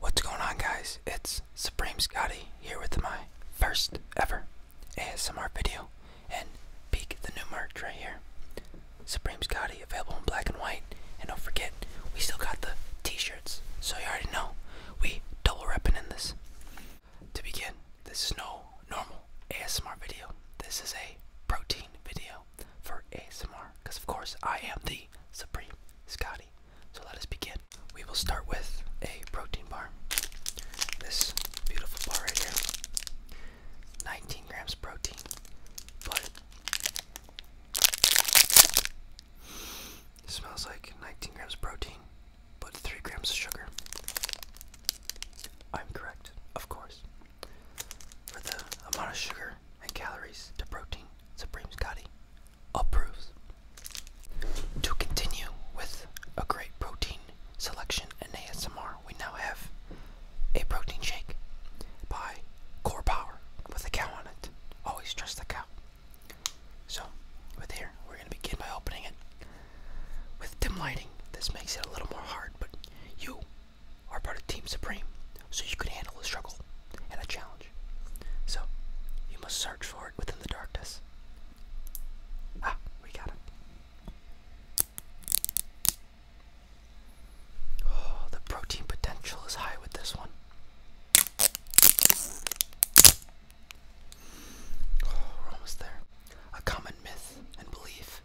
What's going on, guys? It's Supreme Scotty here with my first ever ASMR video and peek the new merch right here. Supreme Scotty available in black and white. And don't forget, we still got the t shirts, so you already know we double repping in this. To begin, this is no normal ASMR video, this is a protein video for ASMR because, of course, I am the Supreme Scotty. So let us begin. We will start with a protein bar. This beautiful bar right here 19 grams protein, but smells like 19 grams protein, but 3 grams of sugar. I'm correct, of course. For the amount of sugar and calories to protein, Supreme Scotty approves. To continue with a great protein selection in ASMR, we now have a protein shake by Core Power with a cow on it. Always trust the cow. So, with here, we're going to begin by opening it. With dim lighting, this makes it a little more hard, but you are part of Team Supreme, so you can handle a struggle and a challenge. So, you must search for it within the darkness. Ah, we got it. Oh, the protein potential is high with this one. Oh, we're almost there. A common myth and belief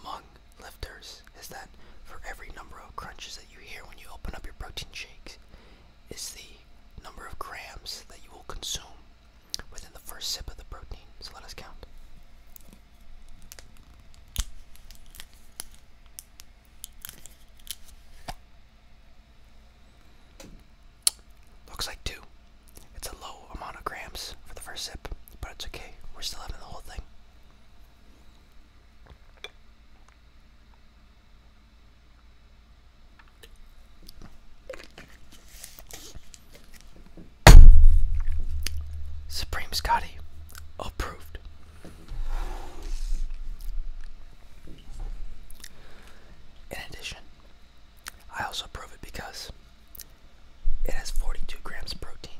among lifters is that for every number of crunches that you hear when you open up your protein shakes is the number of grams that you will consume within the first sip of the protein. So let us count. Looks like two. It's a low amount of grams for the first sip, but it's okay. We're still having the whole thing. Supreme Scotty approved. In addition, I also approve it because it has 42 grams protein.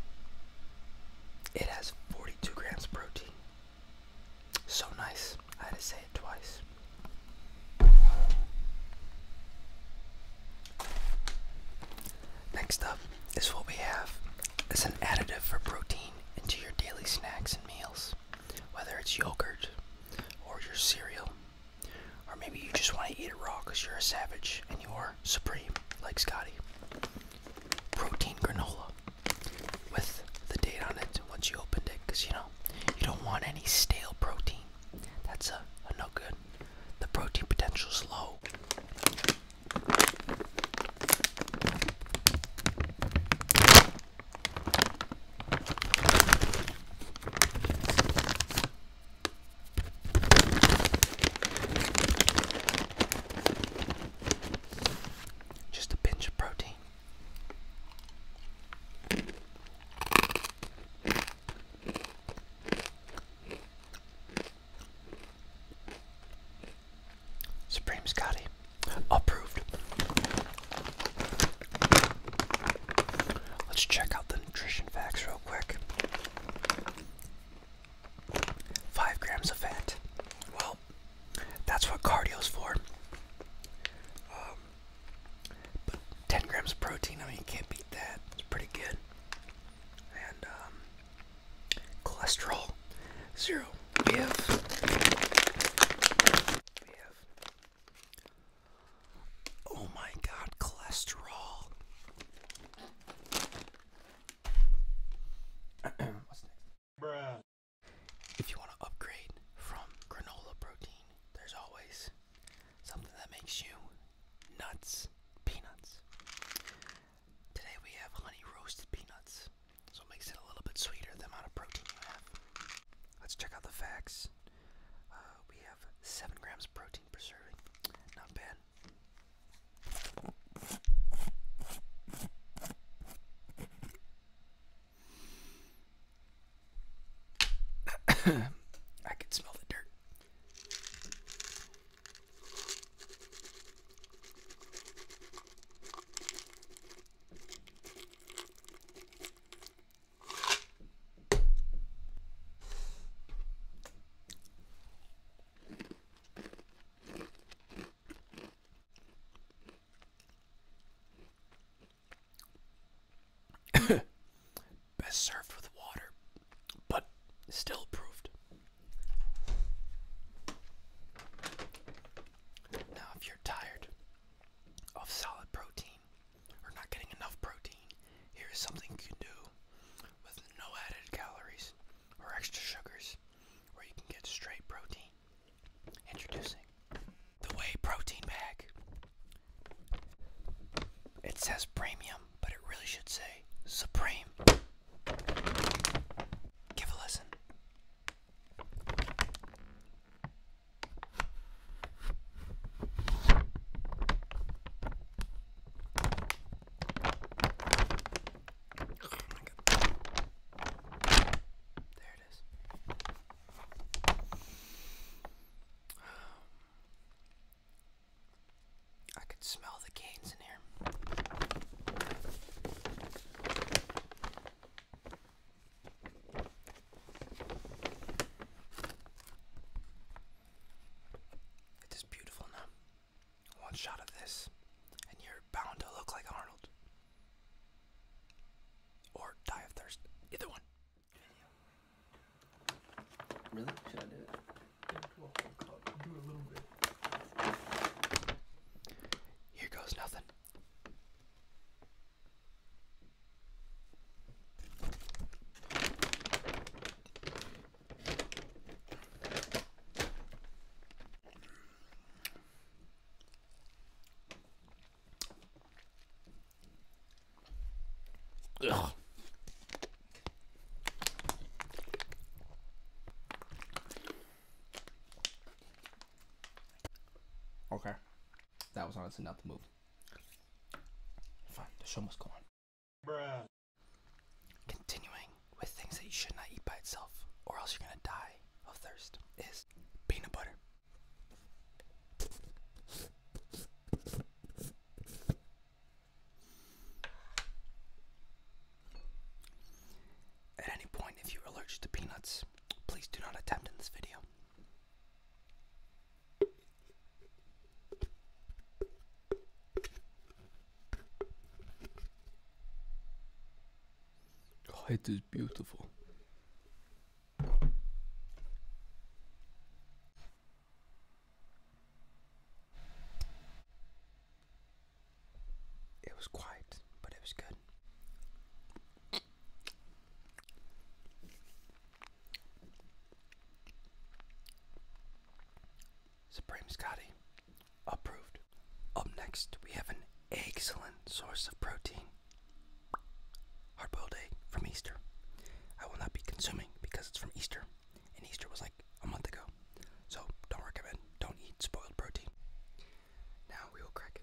It has 42 grams protein. So nice. I had to say it twice. Next up is what we have. is an additive for protein into your daily snacks and meals. Whether it's yogurt or your cereal, or maybe you just want to eat it raw because you're a savage and you are supreme, like Scotty. Protein granola with the date on it once you opened it, because you know, you don't want any stale protein. That's a no good. The protein potential is low. Just a pinch of protein. Supreme Scotty. Approved. Let's check out the nutrition facts real quick. Five grams of fat. Well, that's what cardio's for. Um, 10 grams of protein, I mean, you can't beat that. It's pretty good. And um, cholesterol, zero. We we have Oh my god, cholesterol. If you want to upgrade from granola protein, there's always something that makes you nuts, peanuts. Today we have honey roasted peanuts, so it makes it a little bit sweeter the amount of protein you have. Let's check out the facts. Uh, we have 7 grams of protein. Not bad. I can smell the dirt. Best served with water, but still approved. Now, if you're tired of solid protein, or not getting enough protein, here is something you can do with no added calories or extra sugars where you can get straight protein. Introducing the Whey Protein Bag. It says premium, but it really should say supreme. Give a listen. There it is. Um, I could smell the canes in here. It is beautiful now. One shot of this, and you're bound to look like Arnold. Or die of thirst. Either one. Really? Should I do it? Here goes nothing. Okay. That was honestly not the move. Fine, the show must go on. Continuing with things that you should not eat by itself, or else you're gonna die of thirst, is peanut butter. At any point, if you're allergic to peanuts, please do not attempt in this video it is beautiful. It was quiet, but it was good. Supreme Scotty, approved. Up next, we have an excellent source of protein hard boiled egg from Easter. I will not be consuming because it's from Easter, and Easter was like a month ago. So don't recommend, don't eat spoiled protein. Now we will crack it.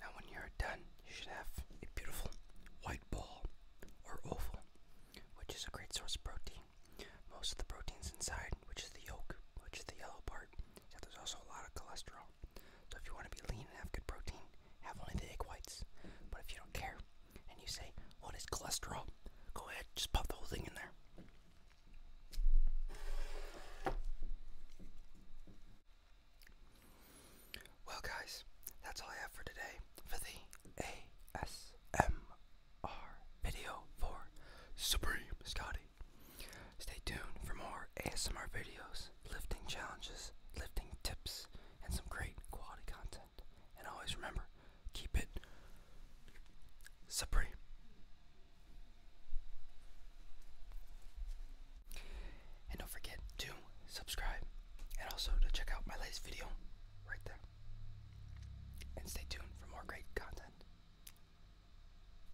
Now, when you're done, you should have a beautiful white ball or oval, which is a great source of protein. Most of the proteins inside, which is the yolk, which is the yellow part, there's also a lot of cholesterol. So if you want to be lean and have good protein, have only the egg whites. But if you don't care and you say, what is cholesterol? Go ahead, just pop the whole thing in there. Well, guys, that's all I have for today for the ASMR video for Supreme Scotty. Stay tuned for more ASMR videos, lifting challenges, lifting tips, and some great quality content. And always remember, keep it supreme. And don't forget to subscribe and also to check out my latest video right there. And stay tuned for more great content.